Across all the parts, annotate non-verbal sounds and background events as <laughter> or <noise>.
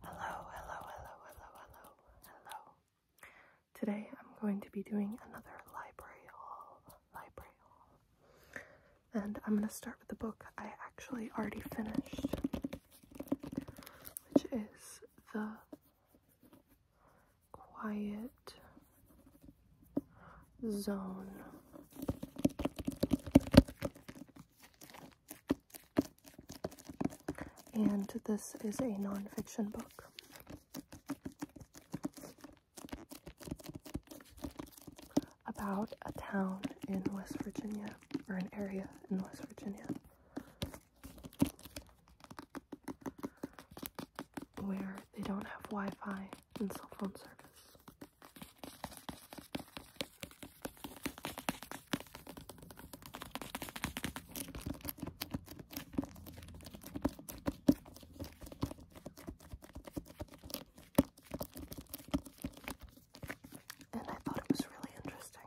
Hello, hello, hello, hello, hello, hello. Today I'm going to be doing another library haul, library haul. And I'm going to start with the book I actually already finished, which is The Quiet Zone. And this is a nonfiction book. About a town in West Virginia, or an area in West Virginia, where they don't have Wi Fi and cell phone service. And I thought it was really interesting.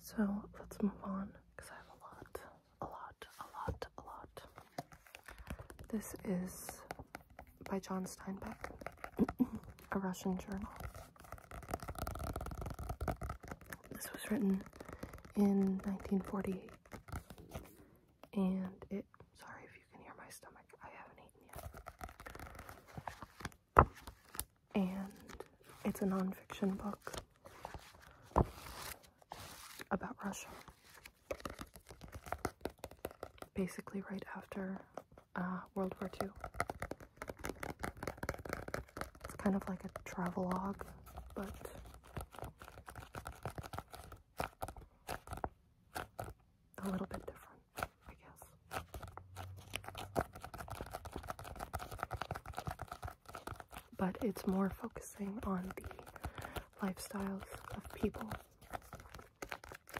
So let's move on because I have a lot, a lot, a lot, a lot. This is by John Steinbeck, <clears throat> a Russian journal. This was written in 1948 and it sorry if you can hear my stomach I haven't eaten yet and it's a nonfiction book about Russia basically right after uh, World War II it's kind of like a travelogue but a little bit different, I guess. But it's more focusing on the lifestyles of people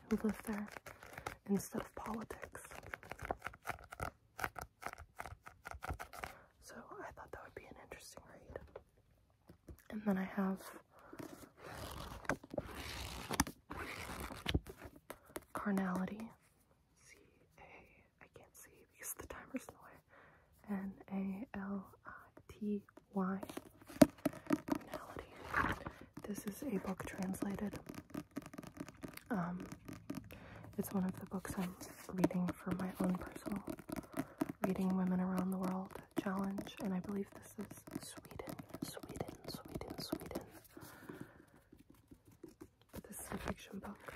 who live there instead of politics. So I thought that would be an interesting read. And then I have Carnality. C A, I can't see because the timer's in the way. N A L I T Y. Carnality. This is a book translated. Um, it's one of the books I'm reading for my own personal reading women around the world challenge, and I believe this is Sweden, Sweden, Sweden, Sweden. this is a fiction book.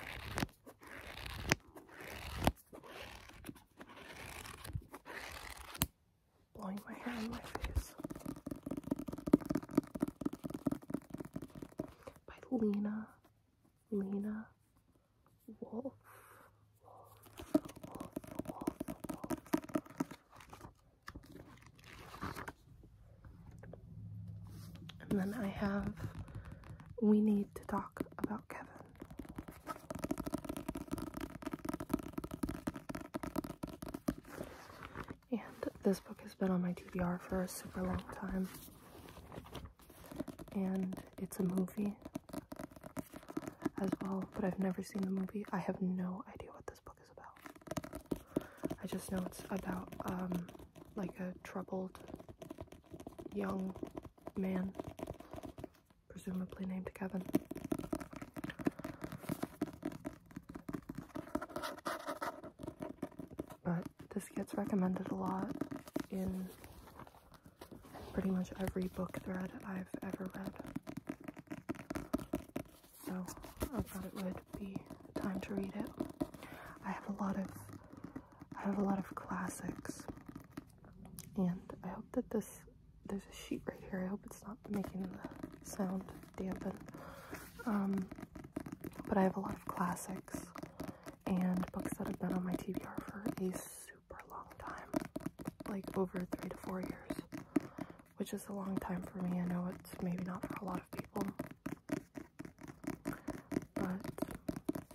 Blowing my hair in my face. By Lena, Lena Wolf. And then I have We Need to Talk About Kevin. And this book has been on my TBR for a super long time. And it's a movie as well, but I've never seen the movie. I have no idea what this book is about. I just know it's about um, like a troubled young man, presumably named Kevin. But this gets recommended a lot in pretty much every book thread I've ever read. So I thought it would be time to read it. I have a lot of I have a lot of classics. And I hope that this there's a sheet right here. I hope it's not making the sound dampen. Um, but I have a lot of classics and books that have been on my TBR for a super long time, like over three to four years, which is a long time for me. I know it's maybe not for a lot of people, but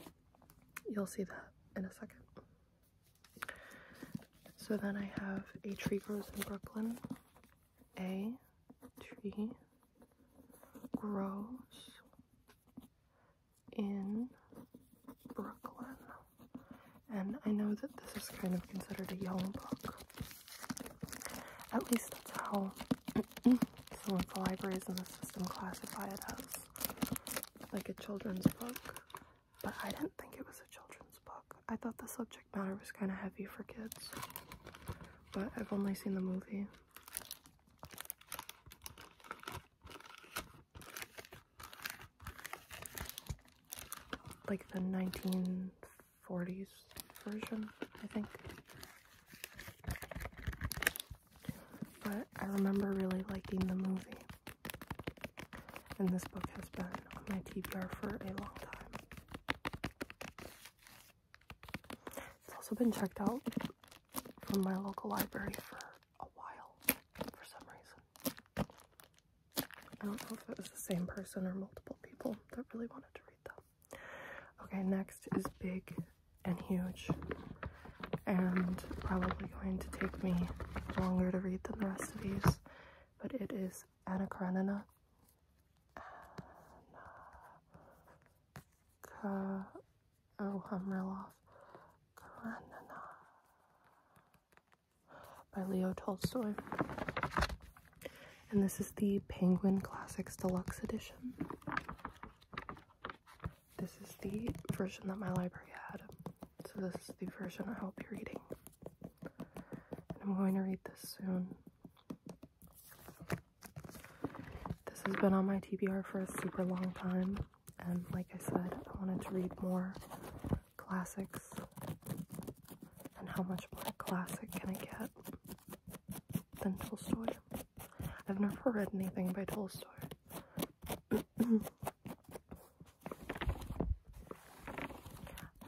you'll see that in a second. So then I have A Tree Grows in Brooklyn. A tree grows in Brooklyn. And I know that this is kind of considered a young book. At least that's how <clears throat> some of the libraries in the system classify it as like a children's book. But I didn't think it was a children's book. I thought the subject matter was kind of heavy for kids. But I've only seen the movie like the 1940s version, I think. But I remember really liking the movie. And this book has been on my TBR for a long time. It's also been checked out from my local library for a while for some reason. I don't know if it was the same person or multiple people that really wanted to read them. Okay, next is Big and Huge, and probably going to take me longer to read than the rest of these, but it is Anna Karenina. oh, I'm real off. Karenina by Leo Tolstoy. And this is the Penguin Classics Deluxe Edition. This is the version that my library had. So this is the version I'll be reading. And I'm going to read this soon. This has been on my TBR for a super long time. And like I said, I wanted to read more classics and how much more classic can I get than Tolstoy? I've never read anything by Tolstoy. <clears throat>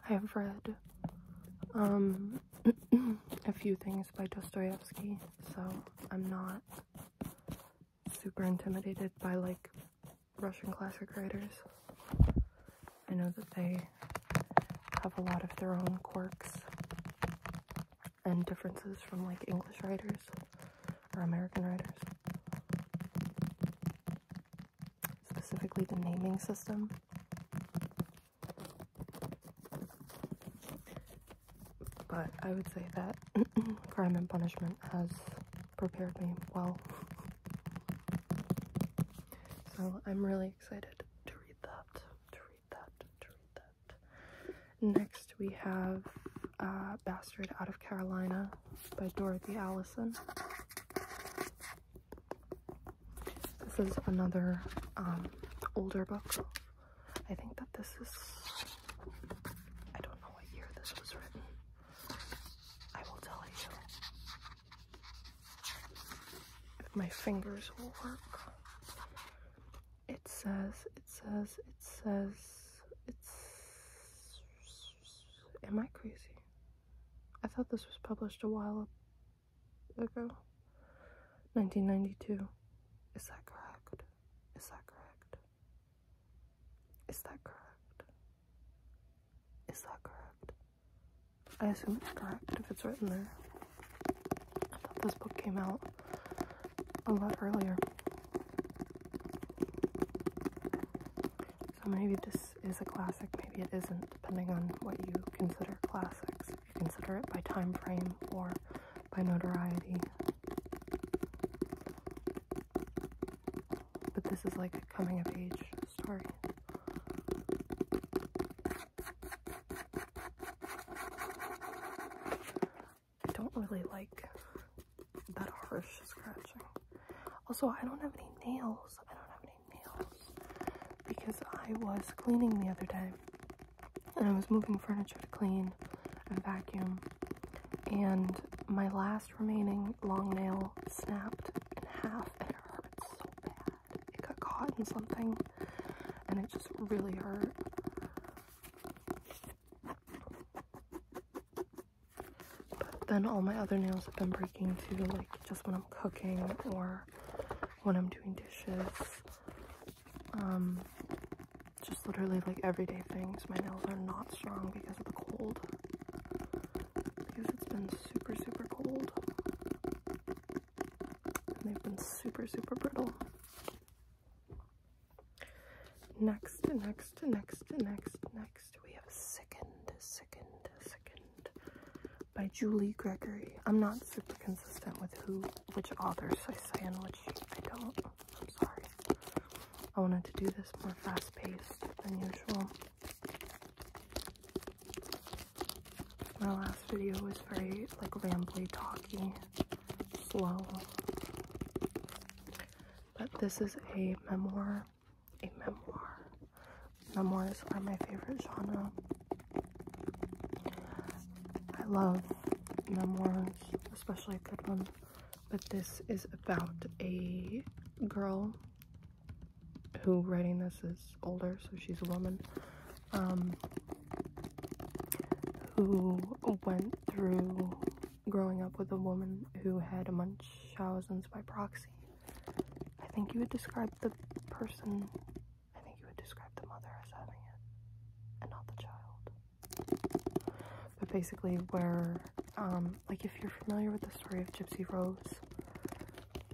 I have read um, <clears throat> a few things by Dostoevsky, so I'm not super intimidated by like Russian classic writers. I know that they have a lot of their own quirks and differences from like English writers or American writers. Specifically, the naming system. But I would say that <clears throat> Crime and Punishment has prepared me well. So I'm really excited to read that, to read that, to read that. Next we have uh, Bastard Out of Carolina by Dorothy Allison. This is another um, older book. I think that this is, I don't know what year this was written. I will tell you if my fingers will work. It says, it says, it says, it's. Am I crazy? I thought this was published a while ago. 1992. Is that correct? Is that correct? Is that correct? Is that correct? I assume it's correct if it's written there. I thought this book came out a lot earlier. So maybe this is a classic, maybe it isn't, depending on what you consider classics. you consider it by time frame or by notoriety. But this is like a coming of age story. I don't really like that harsh scratching. Also, I don't have any nails. I don't have any nails because I was cleaning the other day and I was moving furniture to clean and vacuum and my last remaining long nail snapped in half and it hurt so bad. It got caught in something and it just really hurt. But then all my other nails have been breaking too, like just when I'm cooking or when I'm doing dishes. Um, just literally like everyday things. My nails are not strong because of the cold. Because it's been super, super cold. they've been super, super brittle. Next, next, next, next, next, we have second second second by Julie Gregory. I'm not super consistent with who, which authors I say and which I don't. I'm sorry. I wanted to do this more fast paced than usual. My last video was very like rambly, talky, slow. But this is a memoir. A memoir. Memoirs are my favorite genre. I love memoirs, especially a good one but this is about a girl who writing this is older, so she's a woman, um, who went through growing up with a woman who had a thousands by proxy. I think you would describe the person, I think you would describe the mother as having it, and not the child. But basically, where, um, like, if you're familiar with the story of Gypsy Rose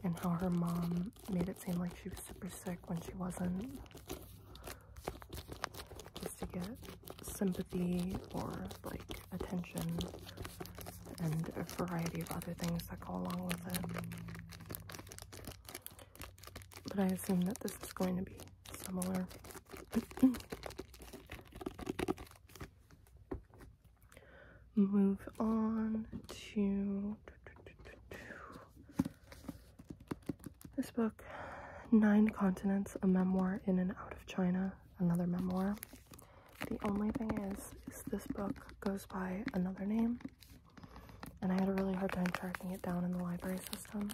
and how her mom made it seem like she was super sick when she wasn't, just to get sympathy or, like, attention and a variety of other things that go along with it. But I assume that this is going to be similar. Move on to this book, Nine Continents, a Memoir in and Out of China, another memoir. The only thing is, is this book goes by another name, and I had a really hard time tracking it down in the library system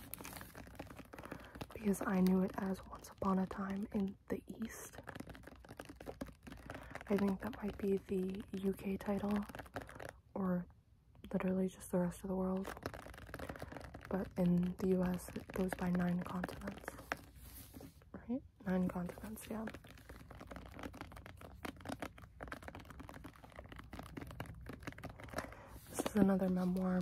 because I knew it as Once Upon a Time in the East. I think that might be the UK title, or literally just the rest of the world. But in the US, it goes by nine continents. Right? Nine continents, yeah. This is another memoir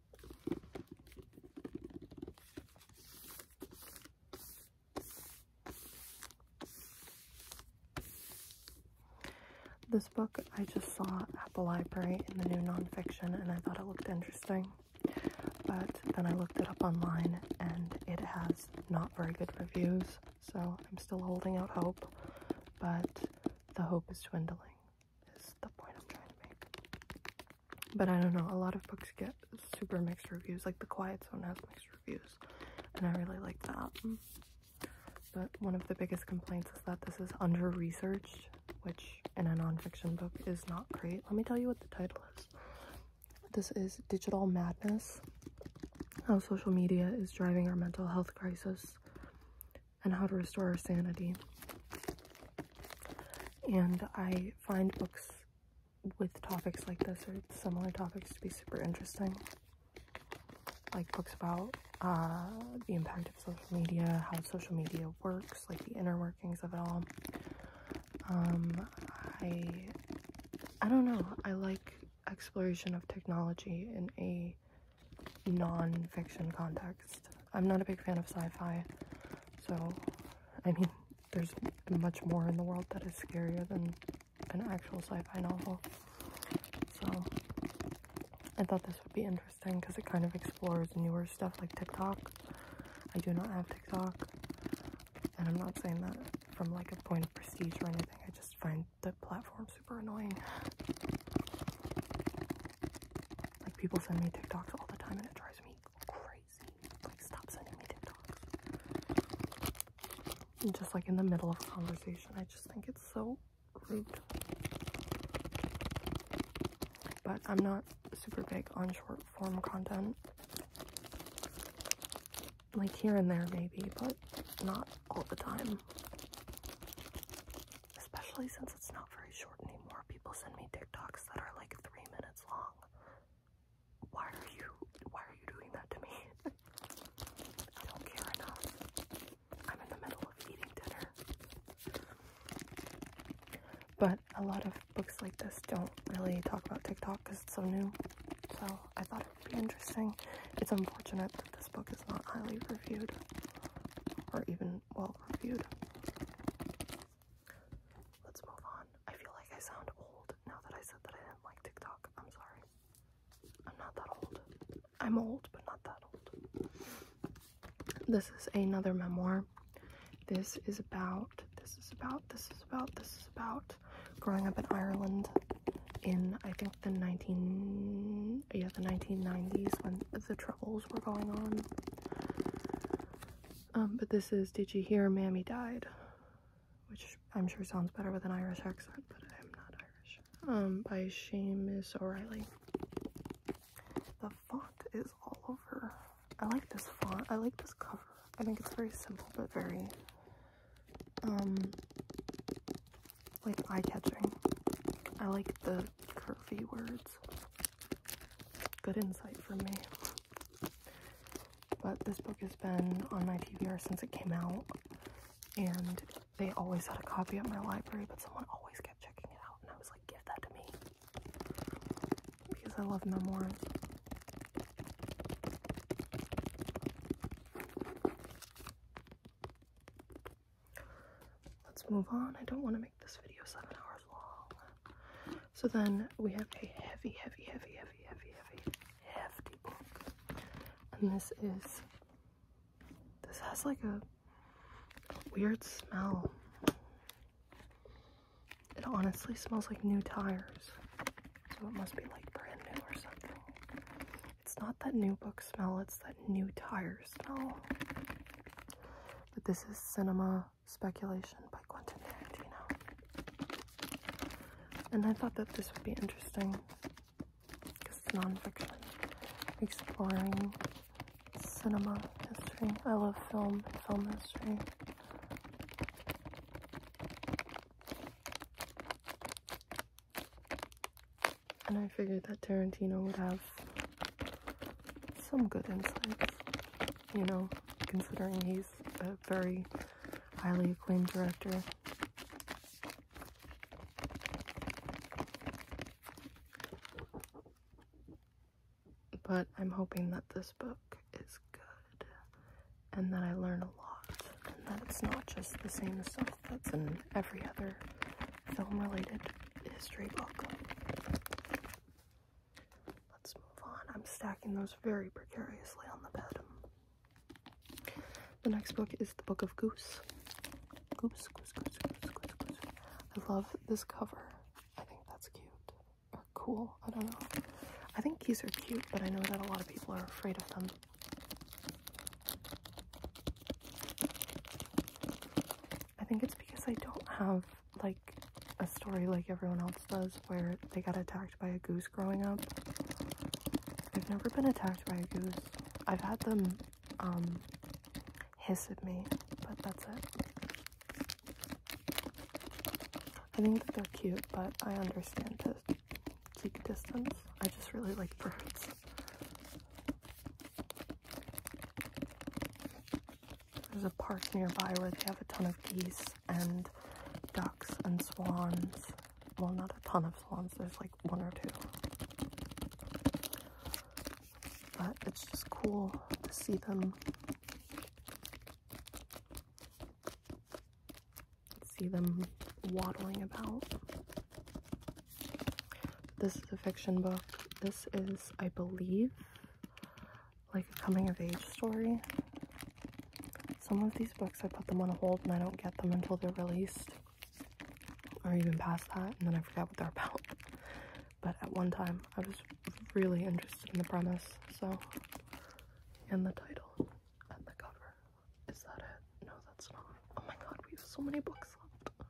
This book I just saw at the library in the new nonfiction and I thought it looked interesting. But then I looked it up online and it has not very good reviews, so I'm still holding out hope. But the hope is dwindling, is the point I'm trying to make. But I don't know, a lot of books get super mixed reviews, like The Quiet Zone has mixed reviews, and I really like that. But one of the biggest complaints is that this is under-researched, which in a non fiction book is not great. Let me tell you what the title is. This is Digital Madness, How Social Media is Driving Our Mental Health Crisis, and How to Restore Our Sanity and I find books with topics like this or similar topics to be super interesting. Like books about uh, the impact of social media, how social media works, like the inner workings of it all. Um, I, I don't know. I like exploration of technology in a non-fiction context. I'm not a big fan of sci-fi. So, I mean, there's much more in the world that is scarier than an actual sci-fi novel. So, I thought this would be interesting because it kind of explores newer stuff like TikTok. I do not have TikTok, and I'm not saying that from like a point of prestige or anything. I just find the platform super annoying. Like people send me TikToks all the time and it drives me crazy. Like stop sending me TikToks. And just like in the middle of a conversation, I just think it's so rude. But I'm not super big on short form content. Like here and there maybe, but not all the time. Especially since it's not very short anymore. People send me TikToks that are like three minutes long. Why are you why are you doing that to me? <laughs> I don't care enough. I'm in the middle of eating dinner. But a lot of books like this don't really talk about TikTok because it's so new. So I thought it would be interesting. It's unfortunate that this book is not highly reviewed. Or even well reviewed. Let's move on. I feel like I sound old now that I said that I didn't like TikTok. I'm sorry. I'm not that old. I'm old, but not that old. This is another memoir. This is about, this is about, this is about, this is about growing up in Ireland in, I think, the 19, yeah, the 1990s when the troubles were going on. Um, but this is Did You Hear Mammy Died? Which I'm sure sounds better with an Irish accent, but I'm not Irish. Um, by Seamus O'Reilly. The font is all over. I like this font. I like this cover. I think it's very simple, but very, um, like eye-catching. I like the curvy words good insight for me. But this book has been on my TBR since it came out, and they always had a copy at my library, but someone always kept checking it out, and I was like, give that to me. Because I love memoirs. Let's move on. I don't want to make this video seven hours long. So then we have a heavy, heavy, heavy, heavy, heavy, heavy, hefty book. And this is, this has like a weird smell. It honestly smells like new tires. So it must be like brand new or something. It's not that new book smell, it's that new tire smell. But this is Cinema Speculation by Quentin Tarantino. And I thought that this would be interesting because it's nonfiction, exploring cinema history. I love film and film history. And I figured that Tarantino would have some good insights, you know, considering he's a very highly acclaimed director. But I'm hoping that this book is good and that I learn a lot and that it's not just the same stuff that's in every other film related history book. Let's move on. I'm stacking those very precariously on the bed. The next book is The Book of Goose. Goose, goose, goose, goose, goose, goose. I love this cover. I think that's cute. Or cool. I don't know. I think keys are cute, but I know that a lot of people are afraid of them. I think it's because I don't have like a story like everyone else does where they got attacked by a goose growing up. I've never been attacked by a goose. I've had them um, hiss at me, but that's it. I think that they're cute, but I understand to keep distance. I just really like birds. There's a park nearby where they have a ton of geese and ducks and swans. Well, not a ton of swans, there's like one or two. But it's just cool to see them. See them waddling about. This is a fiction book. This is, I believe, like a coming of age story. Some of these books I put them on a hold and I don't get them until they're released, or even past that, and then I forget what they're about. But at one time, I was really interested in the premise, so, and the title, and the cover. Is that it? No, that's not. Oh my god, we have so many books left.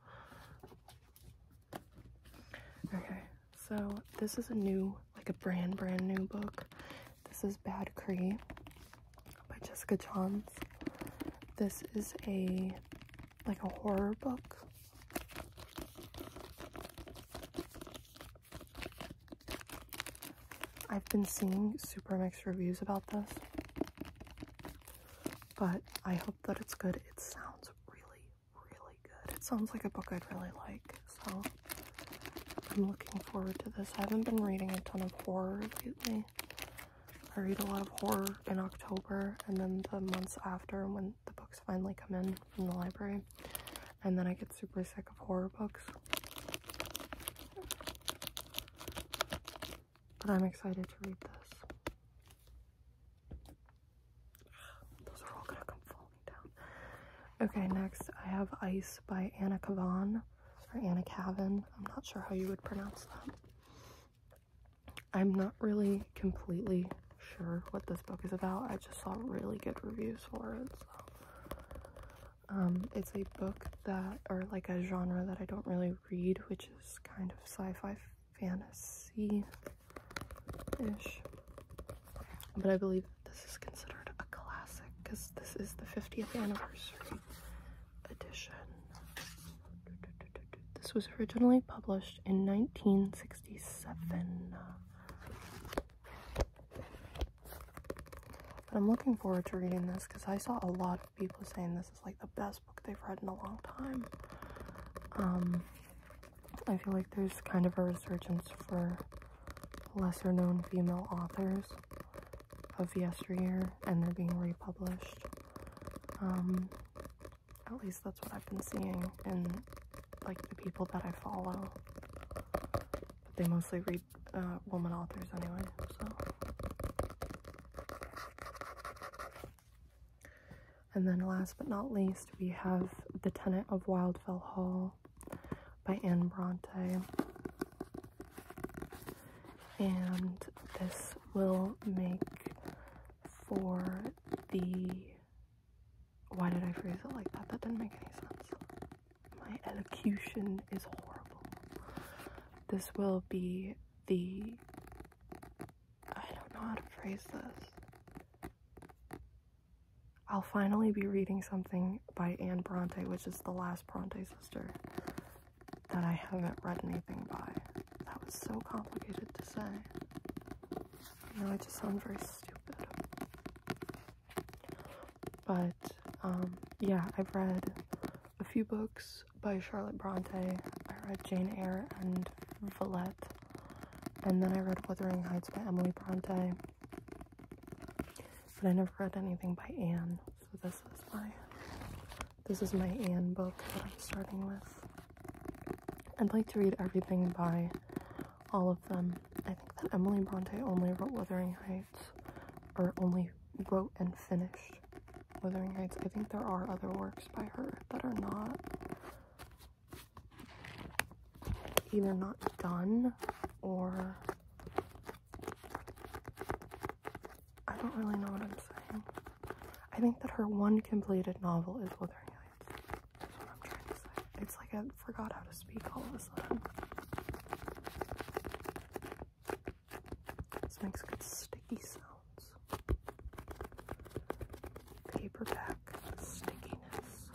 Okay, so this is a new, like a brand, brand new book. This is Bad Cree by Jessica Johns. This is a, like a horror book. I've been seeing super mixed reviews about this, but I hope that it's good. It sounds really, really good. It sounds like a book I'd really like, so I'm looking forward to this. I haven't been reading a ton of horror lately. I read a lot of horror in October and then the months after when the books finally come in from the library. And then I get super sick of horror books. But I'm excited to read this. Okay, next I have Ice by Anna Cavan or Anna Cavan. I'm not sure how you would pronounce that. I'm not really completely sure what this book is about. I just saw really good reviews for it. So. Um, it's a book that, or like a genre that I don't really read, which is kind of sci-fi fantasy-ish. But I believe this is considered a classic because this is the 50th anniversary edition. This was originally published in 1967. But I'm looking forward to reading this because I saw a lot of people saying this is like the best book they've read in a long time. Um, I feel like there's kind of a resurgence for lesser known female authors of yesteryear and they're being republished. Um, at least that's what I've been seeing in like the people that I follow. they mostly read uh, woman authors anyway, so. And then last but not least, we have The Tenant of Wildfell Hall by Anne Bronte. And this will make for the why did I phrase it like that? That didn't make any sense. My elocution is horrible. This will be the I don't know how to phrase this. I'll finally be reading something by Anne Bronte, which is the last Bronte sister that I haven't read anything by. That was so complicated to say. You know, I just sound very stupid. But, um, yeah, I've read a few books by Charlotte Bronte. I read Jane Eyre and Villette. And then I read Wuthering Heights by Emily Bronte. But I never read anything by Anne. So this is my this is my Anne book that I'm starting with. I'd like to read everything by all of them. I think that Emily Bronte only wrote Wuthering Heights or only wrote and finished Wuthering Heights. I think there are other works by her that are not either not done or I don't really know what I'm saying. I think that her one completed novel is Wuthering Heights. It's like I forgot how to speak all of a sudden. This makes good sticky sounds. Paperback stickiness.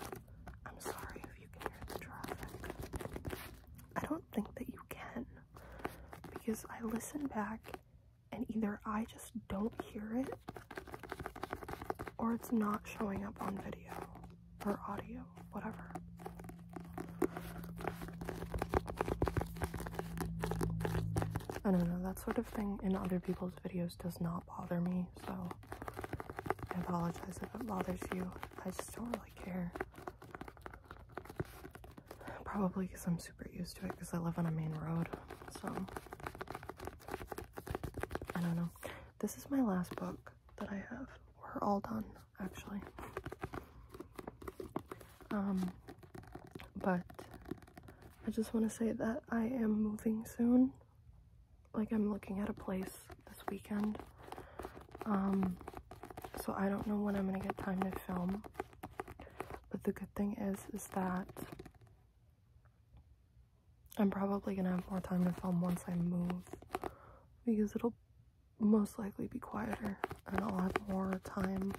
I'm sorry if you can hear the traffic. I don't think that you can because I listen back and either I just don't hear it or it's not showing up on video or audio, whatever. I don't know, that sort of thing in other people's videos does not bother me, so I apologize if it bothers you. I just don't really care. Probably because I'm super used to it because I live on a main road, so I don't know. This is my last book that I have. We're all done, actually. Um, but I just want to say that I am moving soon. Like, I'm looking at a place this weekend. Um, so I don't know when I'm going to get time to film. But the good thing is, is that I'm probably going to have more time to film once I move. Because it'll most likely be quieter and I'll have more time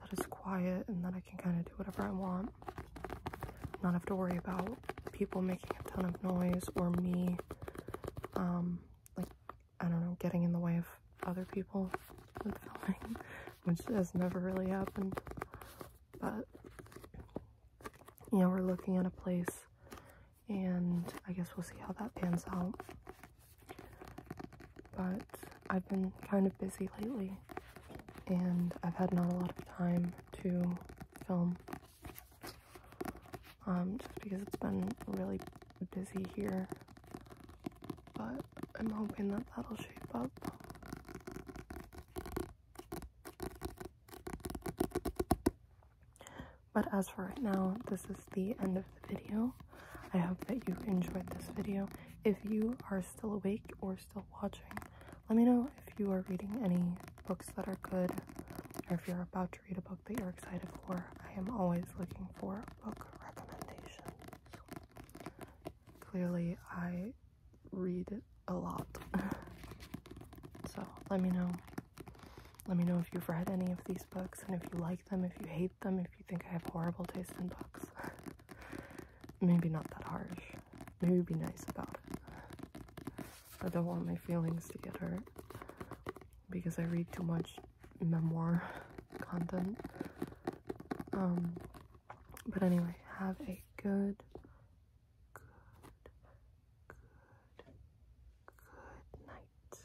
that is quiet and that I can kind of do whatever I want. Not have to worry about people making a ton of noise or me, um, like, I don't know, getting in the way of other people filming, <laughs> which has never really happened. But, you know, we're looking at a place and I guess we'll see how that pans out. But I've been kind of busy lately and I've had not a lot of time to film. Um, just because it's been really busy here. But I'm hoping that that'll shape up. But as for now, this is the end of video. I hope that you enjoyed this video. If you are still awake or still watching, let me know if you are reading any books that are good or if you're about to read a book that you're excited for. I am always looking for book recommendations. Clearly, I read a lot. <laughs> so let me know. Let me know if you've read any of these books and if you like them, if you hate them if you think I have horrible taste in books. <laughs> Maybe not that harsh. Maybe be nice about it. I don't want my feelings to get hurt because I read too much memoir <laughs> content. Um, but anyway, have a good, good, good, good night.